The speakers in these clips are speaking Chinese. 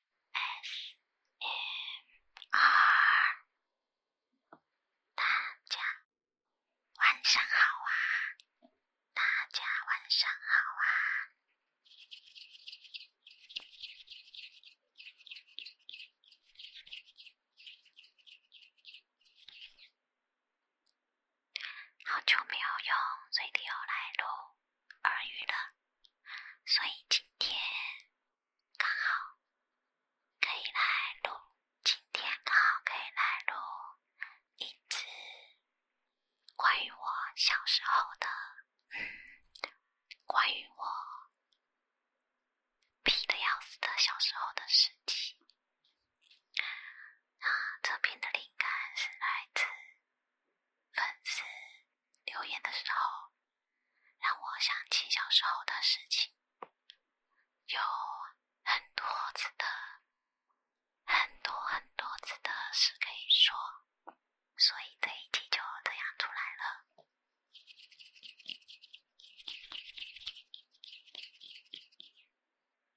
S M R，大家晚上好啊！大家晚上好啊！好久没有用水滴 O 来录耳语了，所以今天。刚好可以来录，今天刚好可以来录一次关于我小时候的，嗯，关于我皮的要死的小时候的事情。那这篇的灵感是来自粉丝留言的时候。让我想起小时候的事情，有很多次的，很多很多次的事可以说，所以这一集就这样出来了。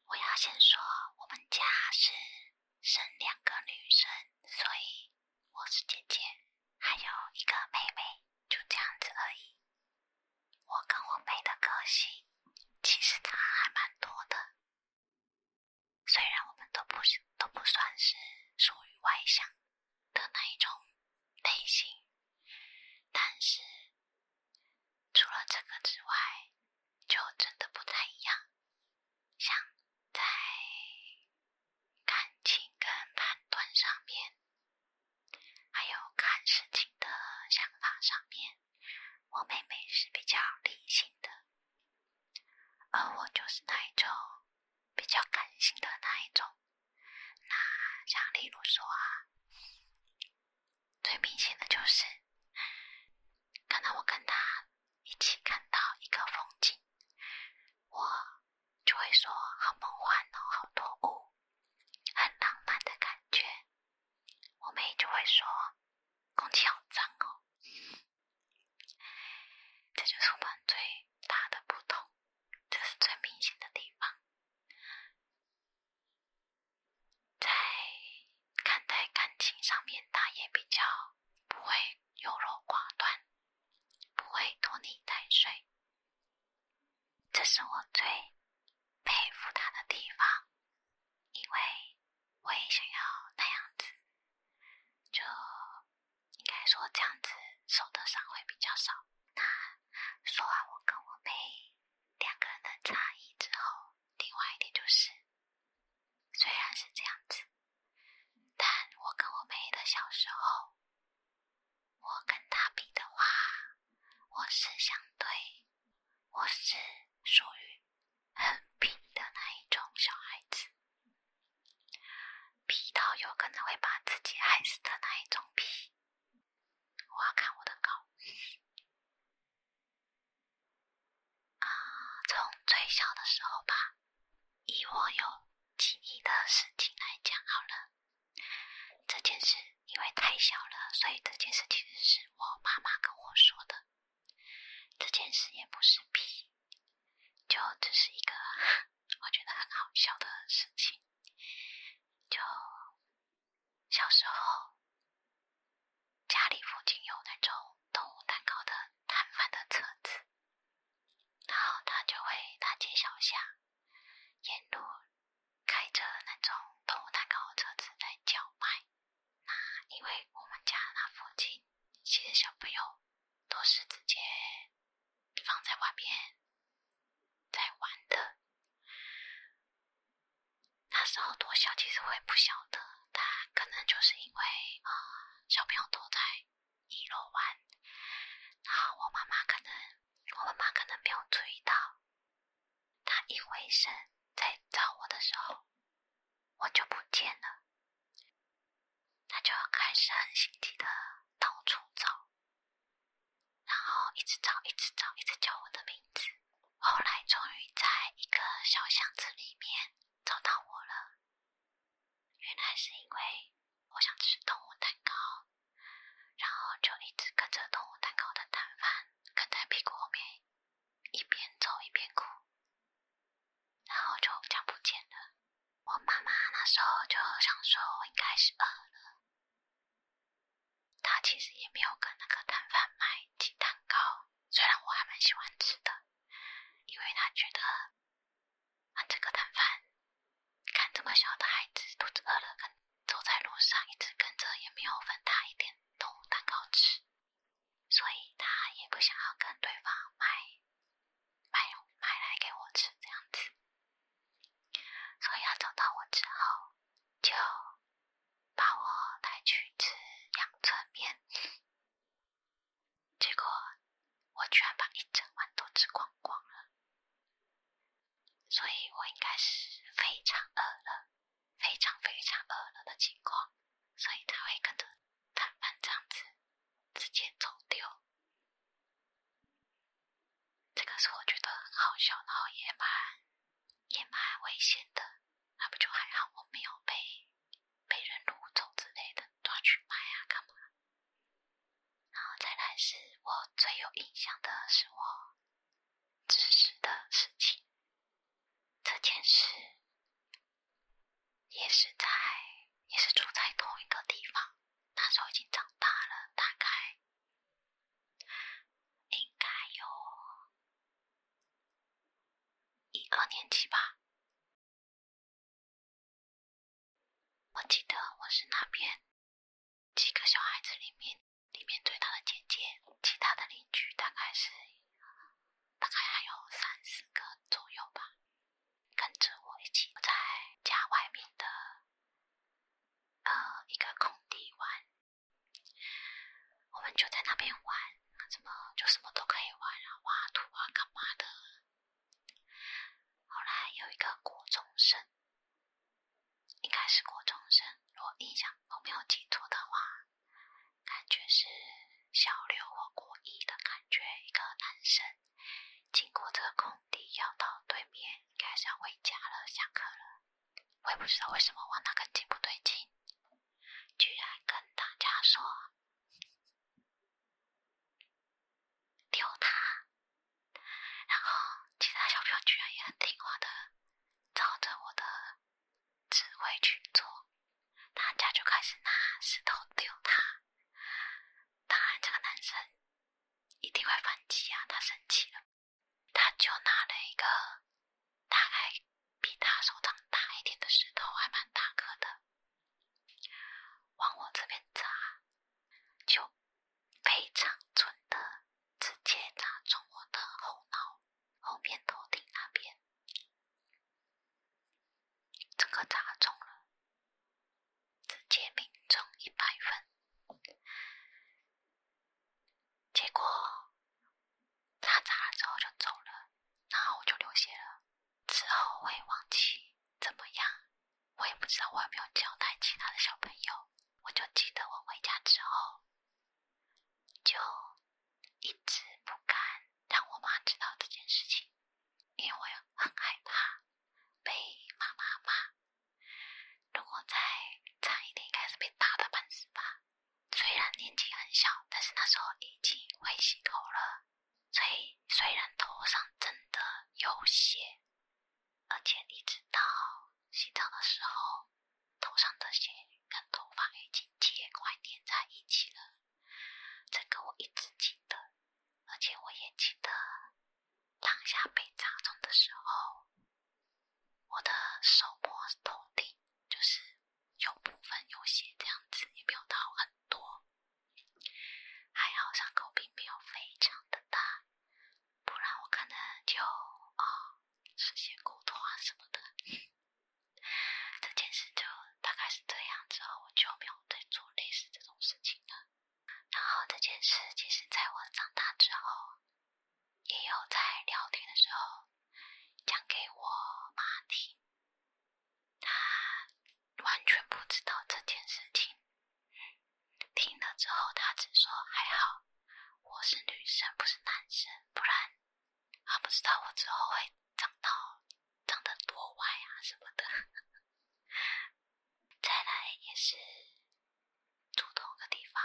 我要先说，我们家是生两个女生，所以我是姐姐。还有一个妹妹，就这样子而已。我跟我妹的个性，其实差还蛮多的。虽然我们都不都不算是属于外向的那一种类型，但是除了这个之外，就真的不太一样。像在。感情跟判断上面，还有看事情的想法上面，我妹妹是比较理性的，而我就是那一种比较感性的那一种。那像例如说啊，最明显的就是，可能我跟她一起看到一个风景，我。就会说好梦幻哦，好多雾，很浪漫的感觉。我妹就会说空气好脏哦。这就是我们最大的不同，这是最明显的地方。在看待感情上面，她也比较不会。优柔寡断，不会拖泥带水，这是我最佩服他的地方。因为我也想要那样子，就应该说这样子受的伤会比较少。那说完我跟我妹两个人的差异之后，另外一点就是，虽然是这样子。但我跟我妹的小时候，我跟她比的话，我是相对，我是属于很皮的那一种小孩子，皮到有可能会把自己害死的那一种皮。我要看我的稿啊，从最小的时候吧。以我有记忆的事情来讲好了，这件事因为太小了，所以这件事其实是我妈妈跟我说的。这件事也不是屁，就只是一个我觉得很好笑的事情。就小时候家里附近有那种动物蛋糕的摊贩的车子。然后他就会大街小巷、沿路开着那种动物蛋糕车子在叫卖。那因为我们家那附近其实小朋友都是直接放在外面在玩的。那时候多小，其实我也不晓得，他可能就是因为呃，小朋友都在。一落完，然后我妈妈可能，我妈妈可能没有注意到，她一回身在找我的时候，我就不见了，她就要开始很心急的到处找，然后一直找，一直找，一直叫我的名字，后来终于在一个小巷子里面找到我了，原来是因为。我想吃动物蛋糕，然后就一直跟着动物蛋糕的摊贩，跟在屁股后面，一边走一边哭，然后就这样不见了。我妈妈那时候就想说，我应该是饿了。她其实也没有跟那个摊贩卖鸡蛋糕，虽然我还蛮喜欢吃的，因为她觉得。啊，这个摊贩看这么小的孩子肚子饿了，跟走在路上一直跟着，也没有分他一点蛋糕吃，所以他也不想要跟对方买买买来给我吃这样子，所以他找到我之后，就把我带去吃阳春面。结果我居然把一整碗都吃光光了，所以我应该是非常饿了，非常非常饿了的情况，所以才会跟着饭这样子直接走丢。这个是我觉得很好笑，然后也蛮也蛮危险的，那不就还好我没有被被人掳走之类的。抓去卖啊，干嘛？然后再来是我最有印象的是我知识的事情，这件事也是在也是住在同一个地方，那时候已经长大了，大概应该有一二年级吧。我记得我是那边几个小孩子里面里面最大的姐姐，其他的邻居大概是大概还有三四个左右吧，跟着我一起在家外面的呃一个空地玩，我们就在那边玩，什么就什么都可以玩啊，挖土啊，干嘛的。后来有一个国中生，应该是国中生，我印象，我没有记错的话，感觉是小刘或国一的感觉，一个男生，经过这个空地要到对面，应该是要回家了，下课了。我也不知道为什么我那个劲不对劲，居然跟大家说。丢他，然后其他小朋友居然也很听话的照着我的指挥去做，大家就开始拿石头丢他。当然，这个男生一定会反击啊，他生气了，他就拿了一个大概比他手掌大一点的石头，还蛮大颗的。往我这边砸，就非常准的，直接砸中我的后脑后面头顶那边，整个砸中了，直接命中一百分。结果他砸了之后就走了，然后我就流血了。之后会忘记怎么样，我也不知道，我有没有交代其他的小朋友。我就记得我回家之后，就一直不敢让我妈知道这件事情，因为很害怕被妈妈骂。如果再惨一点，应该是被打的半死吧。虽然年纪很小，但是那时候已经会洗头了。所以虽然头上真的有血，而且一直到洗澡的时候头上的血跟头发已经结块粘在一起了，这个我一直记得，而且我也记得当下被扎中的时候，我的手摸头顶就是有部分有血，这样子也没有到很多。还好伤口并没有非常的大，不然我可能就啊，视线骨痛啊什么的。这件事就大概是这样，之后我就没有再做类似这种事情了。然后这件事其实在我长大之后，也有在聊天的时候讲给我妈听。她。完全不知道这件事情。听了之后，他只说还好，我是女生，不是男生，不然他不知道我之后会长到长得多歪啊什么的。再来也是住同的个地方，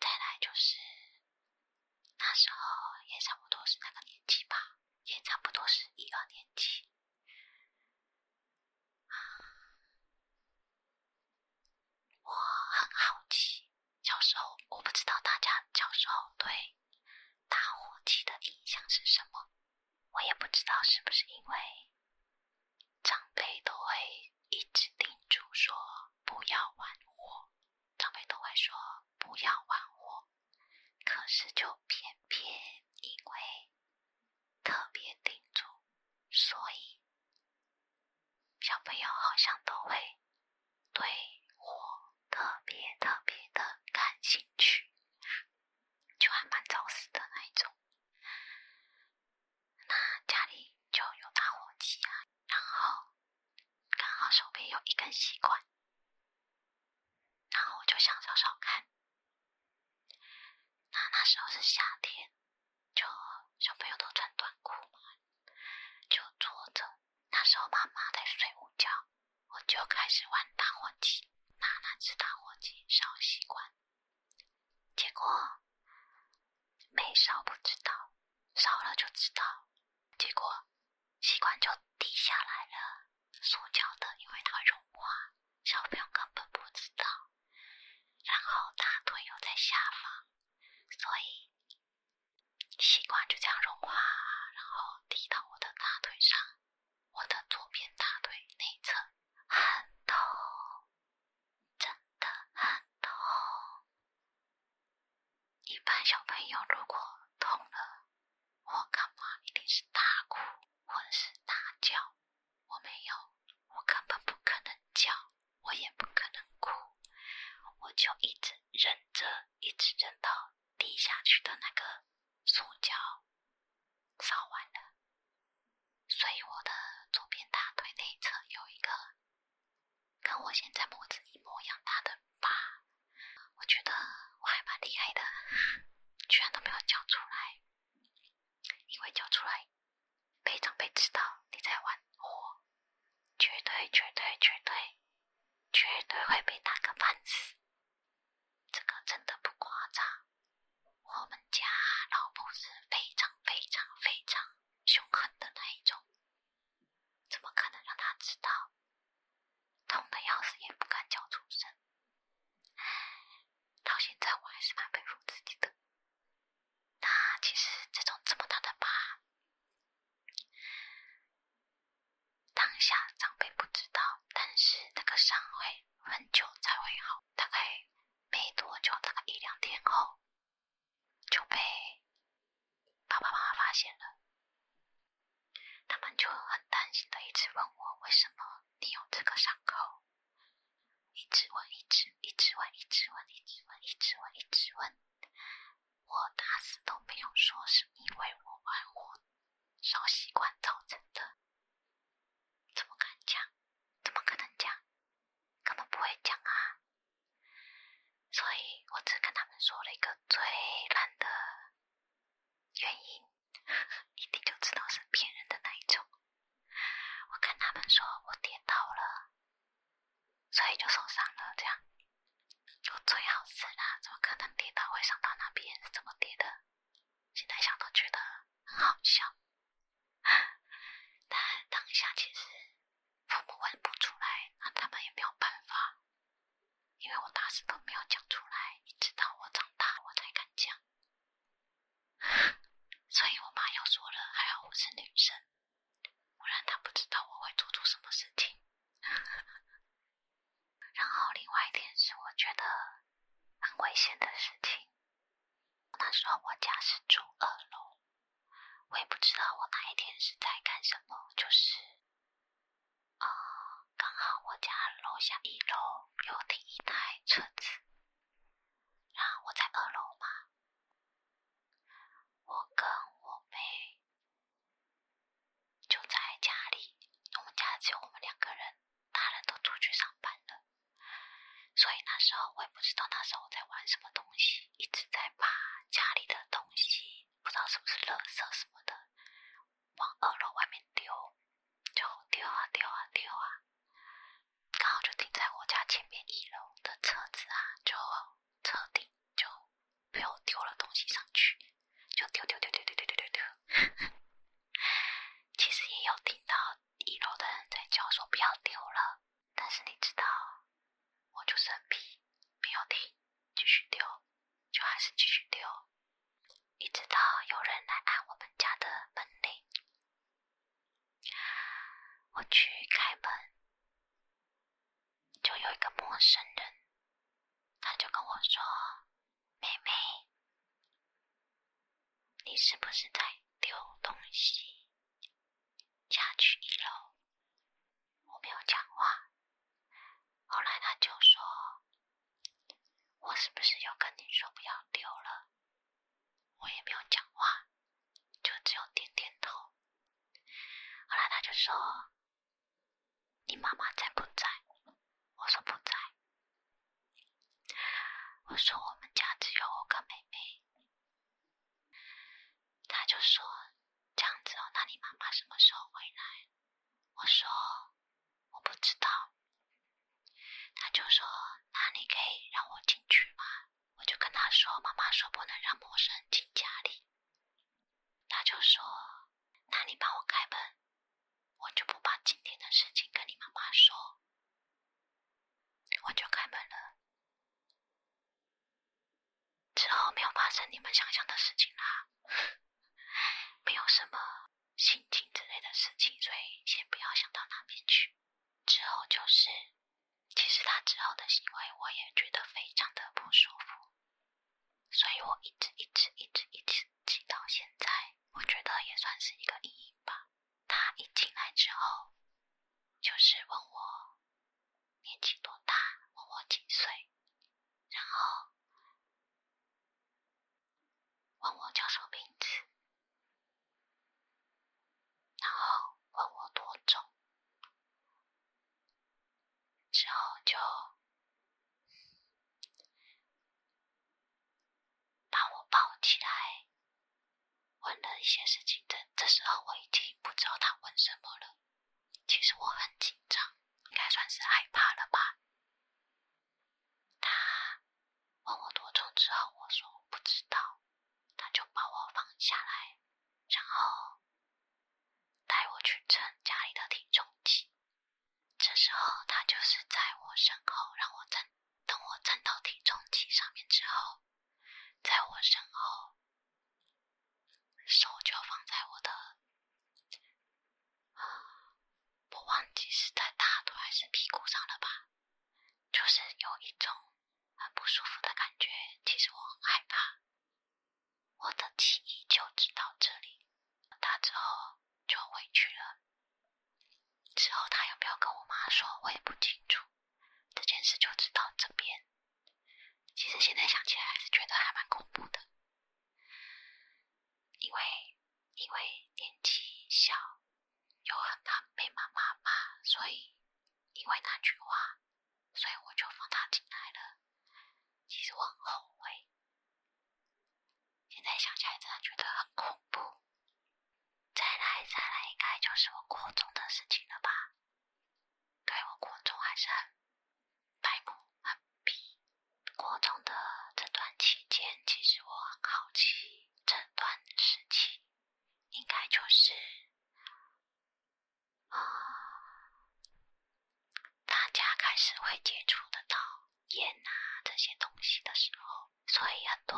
再来就是那时候也差不多是那个年纪吧，也差不多是一二年级。我很好奇，小时候我不知道大家小时候对打火机的印象是什么。我也不知道是不是因为长辈都会一直叮嘱说不要玩火，长辈都会说不要玩火。可是就偏偏因为特别叮嘱，所以小朋友好像都会对我特别特别的感兴趣，就还蛮找死的那一种。那家里就有打火机啊，然后刚好手边有一根吸管，然后我就想烧烧看。那那时候是夏天，就小朋友都穿短裤嘛，就坐着。那时候妈妈在睡午觉，我就开始玩打火机，拿那只打火机烧习惯。结果没烧不知道，烧了就知道。结果……吸管就滴下来了，塑胶的，因为它会融化。小朋友根本不知道，然后大腿又在下方，所以吸管就这样融化，然后滴到我的大腿上，我的左边大腿内侧，很痛，真的很痛。一般小朋友如果痛了，我干妈一定是大哭，或者是大叫。我没有，我根本不可能叫，我也不可能哭，我就一直忍着，一直忍到滴下去的那个塑胶烧完了，所以我的左边大腿内侧有一个跟我现在拇指一模一样大的疤。我觉得我还蛮厉害的，居然都没有叫出来。因为叫出来，被长辈知道你在玩火，绝对绝对绝对绝对会被打个半死。这个真的不夸张。我们家老婆是非常非常非常凶狠的那一种，怎么可能让他知道？痛的要死也不敢叫出声，到现在我还是蛮佩服自己的。那其实这种这么大的疤，当下长辈不知道，但是那个伤会很久才会好，大概没多久，大概一两天后就被爸爸妈妈发现了。他们就很担心的一直问我为什么你有这个伤口，一直问，一直，一直问，一直问，一直问，一直问，一直问。我打死都没有说，是因为我玩火烧习惯造成的。怎么敢讲？怎么可能讲？根本不会讲啊！所以我只跟他们说了一个最烂的原因。一定就知道是骗人的那一种。我跟他们说我跌倒了，所以就受伤了这样。我最好奇啦，怎么可能跌倒会伤到那边？是怎么跌的？现在想都觉得很好笑。但当下其实父母问不出来，那他们也没有办法。因为我打死都没有讲出来，一直到我长大我才敢讲，所以我妈又说了，还好我是女生，不然她不知道我会做出什么事情。然后另外一点是我觉得很危险的事情，那时候我家是住二楼，我也不知道我哪一天是在干什么，就是。啊，刚好我家楼下一楼有停一台车子，然后我在二楼嘛，我跟我妹就在家里，我们家只有我们两个人，大人都出去上班了，所以那时候我也不知道那时候在玩什么东西，一直在把家里的东西，不知道是不是垃圾什么的。往二楼外面丢，就丢啊丢啊丢啊，刚好就停在我家前面一楼的车子啊，就车顶就被我丢了东西上去，就丢丢丢丢丢丢丢丢。其实也有听到一楼的人在叫说不要丢了，但是你知道，我就很皮，没有停，继续丢。就还是继续丢，一直到有人来按我们家的门铃，我去开门，就有一个陌生人，他就跟我说：“妹妹，你是不是在丢东西？”，下去一楼，我没有讲话，后来他就说。我是不是又跟你说不要留了？我也没有讲话，就只有点点头。后来他就说：“你妈妈在不在？”我说不在。我说我们家只有我跟妹妹。他就说：“这样子哦，那你妈妈什么时候回来？”我说我不知道，他就说那你可以让我进去吗？我就跟他说，妈妈说不能让陌生人进家里。他就说那你帮我开门，我就不把今天的事情跟你妈妈说。我就开门了，之后没有发生你们想象的事情啦。没有什么心情之类的事情，所以先不要想到那边去。之后就是，其实他之后的行为我也觉得非常的不舒服，所以我一直一直一直一直记到现在。我觉得也算是一个阴影吧。他一进来之后，就是问我年纪多大，问我几岁，然后。问我叫什么名字，然后问我多重，之后就把我抱起来，问了一些事情。这这时候我已经不知道他问什么了。其实我很紧张，应该算是害怕了吧。他问我多重之后，我说不知道，他就把我放下来，然后带我去称家里的体重计。这时候他就是在我身后让我站，等我站到体重计上面之后，在我身后手就放在我的。我忘记是在大腿还是屁股上了吧，就是有一种很不舒服的感觉。其实我很害怕，我的记忆就只到这里，他之后就回去了。之后他有没有跟我妈说，我也不清楚。这件事就只到这边。其实现在想起来，还是觉得还蛮恐怖的。因为因为年纪小，又很怕被妈妈骂，所以因为那句话，所以我就放他进来了。其实我很后悔，现在想起来真的觉得很恐怖。再来再来，应该就是我过中的事情了吧？对我过中还是很。白骨啊，比国中的这段期间，其实我很好奇，这段时期应该就是，呃，大家开始会接触得到烟啊这些东西的时候，所以很多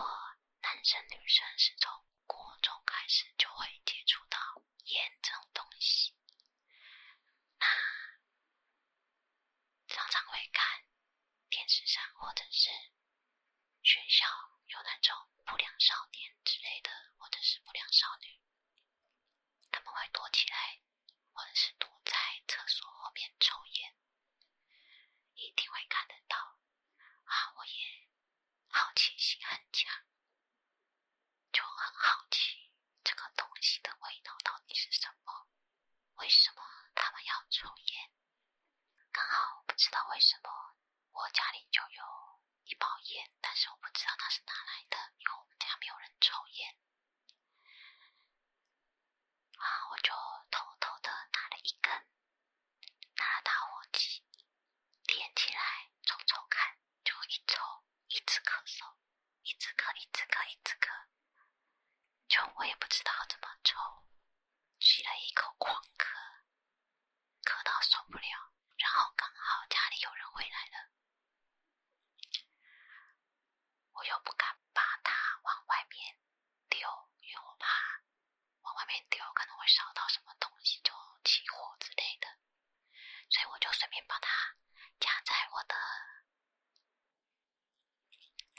男生女生是从国中开始就会接触到烟这种东西。那常常会看电视上，或者是学校有那种不良少年之类的，或者是不良少女，他们会躲起来，或者是躲在厕所后面抽烟，一定会看得到。啊，我也好奇心很强。就很好奇这个东西的味道到底是什么？为什么他们要抽烟？刚好不知道为什么我家里就有一包烟，但是我不知道它是哪来的，因为我们家没有人抽烟。啊，我就偷偷的拿了一根，拿了打火机点起来抽抽看。就一抽，一直咳嗽，一直咳，一直咳，一直咳。就我也不知道怎么抽，吸了一口狂咳，咳到受不了。然后刚好家里有人回来了，我又不敢把它往外面丢，因为我怕往外面丢可能会烧到什么东西，就起火之类的。所以我就顺便把它夹在我的。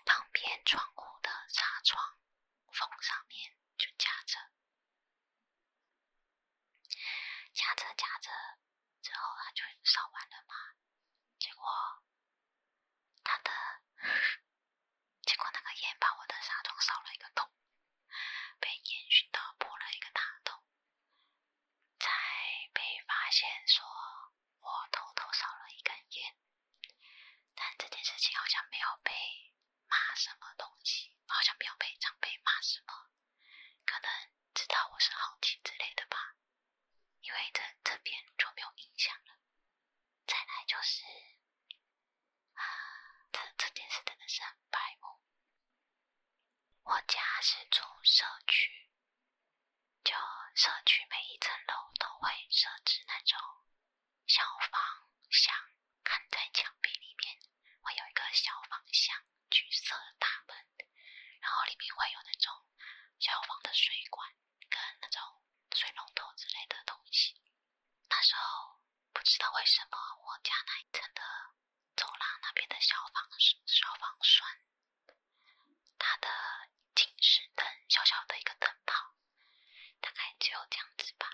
旁边窗户的纱窗，缝上面就夹着，夹着夹着，之后它就烧完了嘛。结果，它的结果那个烟把我的纱窗烧了一个洞，被烟熏到破了一个大洞。才被发现说，我偷偷烧了一根烟，但这件事情好像没有被骂什么东西，好像没有被长辈骂什么，可能知道我是好奇之类的吧，因为这这边就没有印象了。再来就是啊，这这件事真的是很白目，我家是住社区。就社区每一层楼都会设置那种消防箱，焊在墙壁里面，会有一个消防箱，橘色大门，然后里面会有那种消防的水管跟那种水龙头之类的东西。那时候不知道为什么我家那一层的。走廊那边的消防消防栓，它的警示灯，小小的一个灯泡，大概只有这样子吧。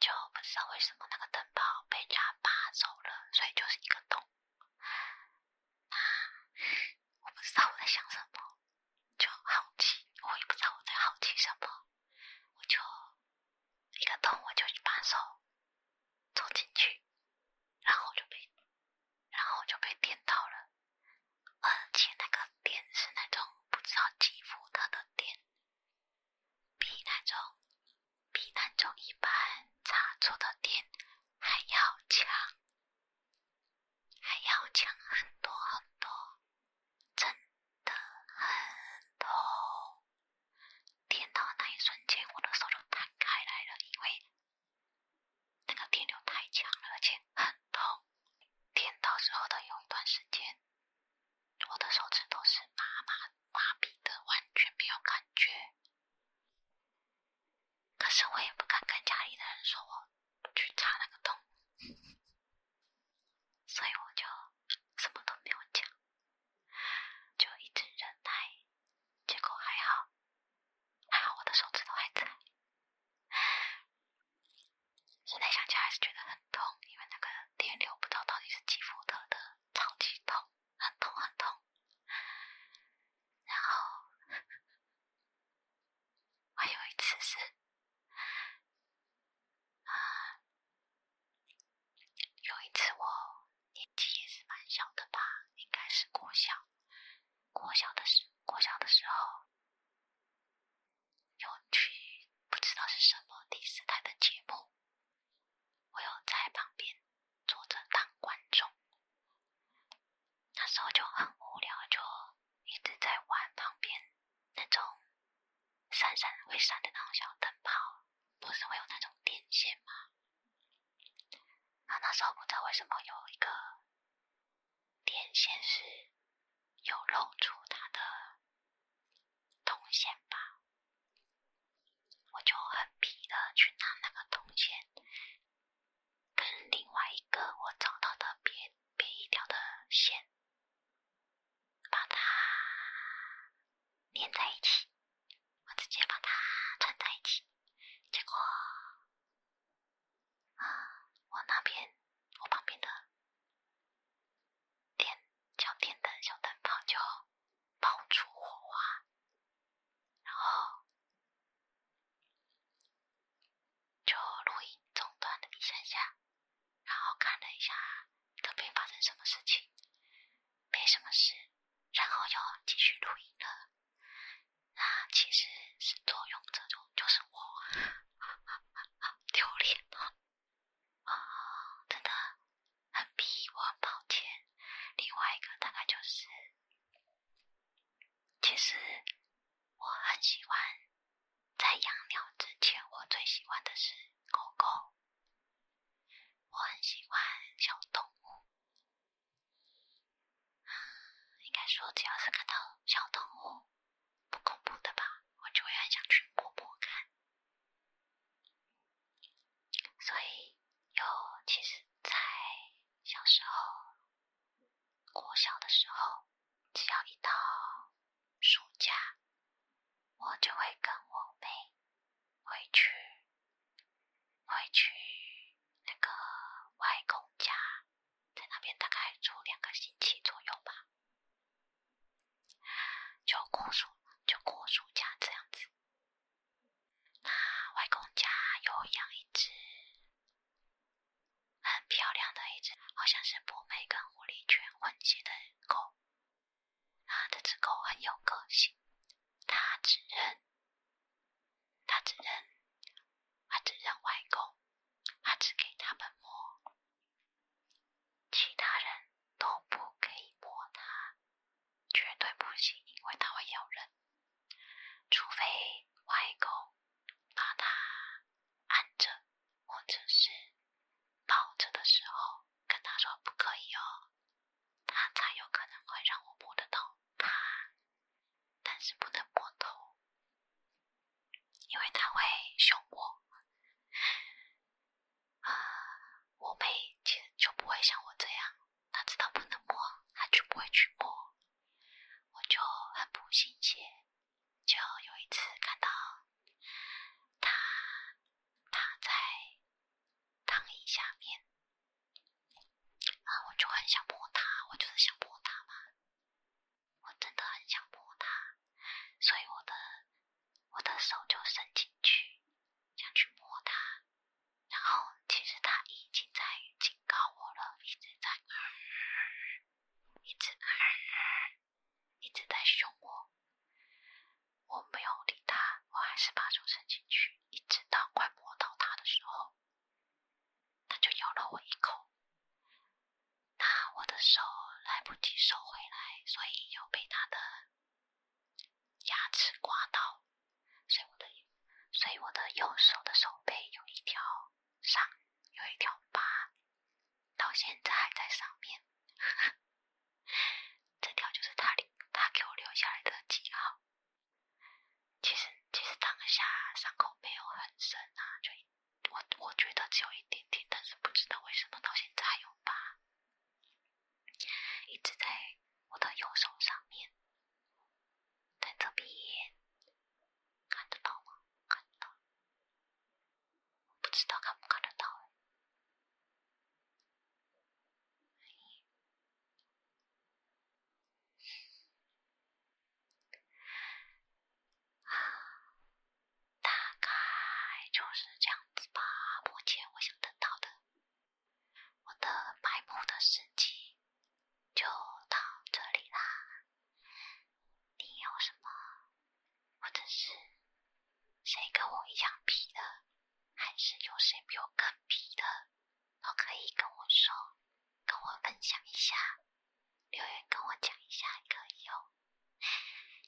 就不知道为什么那个灯泡被家拔走了，所以就是一个洞。我不知道我在想什么，就好奇，我也不知道我在好奇什么，我就一个洞，我就把手走进去。然后就被，然后就被电到了，而且那个电是那种不知道几伏特的电，比那种，比那种一般插座的电还要强，还要强很多很多，真的很痛。电到那一瞬间，我的手就弹开来了，因为那个电流太强了，而且很痛。电到之后的有一段时间，我的手指都是麻麻麻痹的，完全没有感觉。可是我也不敢跟家里的人说我去插那个洞，所以我就什么都没有讲。就一直忍耐，结果还好，还好我的手指头还在。现在想起来还是觉得很痛，因为那个电流不知道到底是几伏特的，超级痛，很痛很痛。然后，还有一次是有一次我。年纪也是蛮小的吧，应该是国小。国小的时，国小的时候，有去不知道是什么电视台的节目，我有在旁边坐着当观众。那时候就很无聊，就一直在玩旁边那种闪闪会闪的那种小灯泡，不是会有那种电线吗？然那时候不知道为什么有一个电线是有露出它的铜线吧，我就很皮的去拿那个铜线，跟另外一个我找到的别别一条的线，把它连在一起。我直接把它串在一起，结果啊，我那边我旁边的电小电灯小灯泡就爆出火花，然后就录音中断了一下下，然后看了一下这边发生什么事情，没什么事。然后又继续录音了，那其实是作用，这种就是我丢脸啊，真的很逼，我很抱歉。另外一个大概就是，其实我很喜欢在养鸟之前，我最喜欢的是狗狗。我很喜欢小动物。应该说，只要是看到小动物不恐怖的吧，我就会很想去摸摸看。所以，有其实，在小时候，我小的时候，只要一到暑假，我就会跟我妹回去。回去那个外公家，在那边大概住两个星期左右吧，就过暑，就过暑假这样子。那外公家有养一只很漂亮的一只，好像是博美跟狐狸犬混血的狗。他这只狗很有个性，他只认，他只认，他只认外公，他只给他们摸，其他人都不可以摸他，绝对不行，因为他会咬人。除非外公把他按着，或者是抱着的时候，跟他说不可以哦。他才有可能会让我摸得到他，但是不能摸头，因为他会凶我。啊，我妹其实就不会像我这样，她知道不能摸，她就不会去摸。我就很不信邪，就有一次看到他，他在躺椅下面。啊！我就很想摸它，我就是想摸它嘛，我真的很想摸它，所以我的我的手就伸进去，想去摸它，然后其实它已经在警告我了，一直在，一直，一直在凶我。我没有理他，我还是把手伸进去，一直到快摸到他的时候，他就咬了我一口。那我的手来不及收回来，所以又被他的牙齿刮到，所以我的所以我的右手的手背有一条伤，有一条疤，到现在还在上面。这条就是他留，他给我留下来的记号。其实，其实当下伤口没有很深啊，就我我觉得只有一点点，但是不知道为什么到现在还有疤，一直在我的右手上面，在这边看得到吗？看到，不知道看不看得到。大概就是这样子吧。目前我想得到的，我的白木的世纪就到这里啦。你有什么，或者是谁跟我一样皮的？还是有谁比我更皮的，都可以跟我说，跟我分享一下，留言跟我讲一下也可以哦。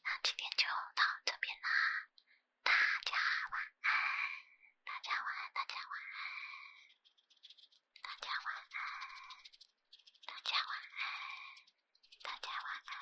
那今天就到这边啦，大家晚安，大家晚安，大家晚安，大家晚安，大家晚安，大家晚安。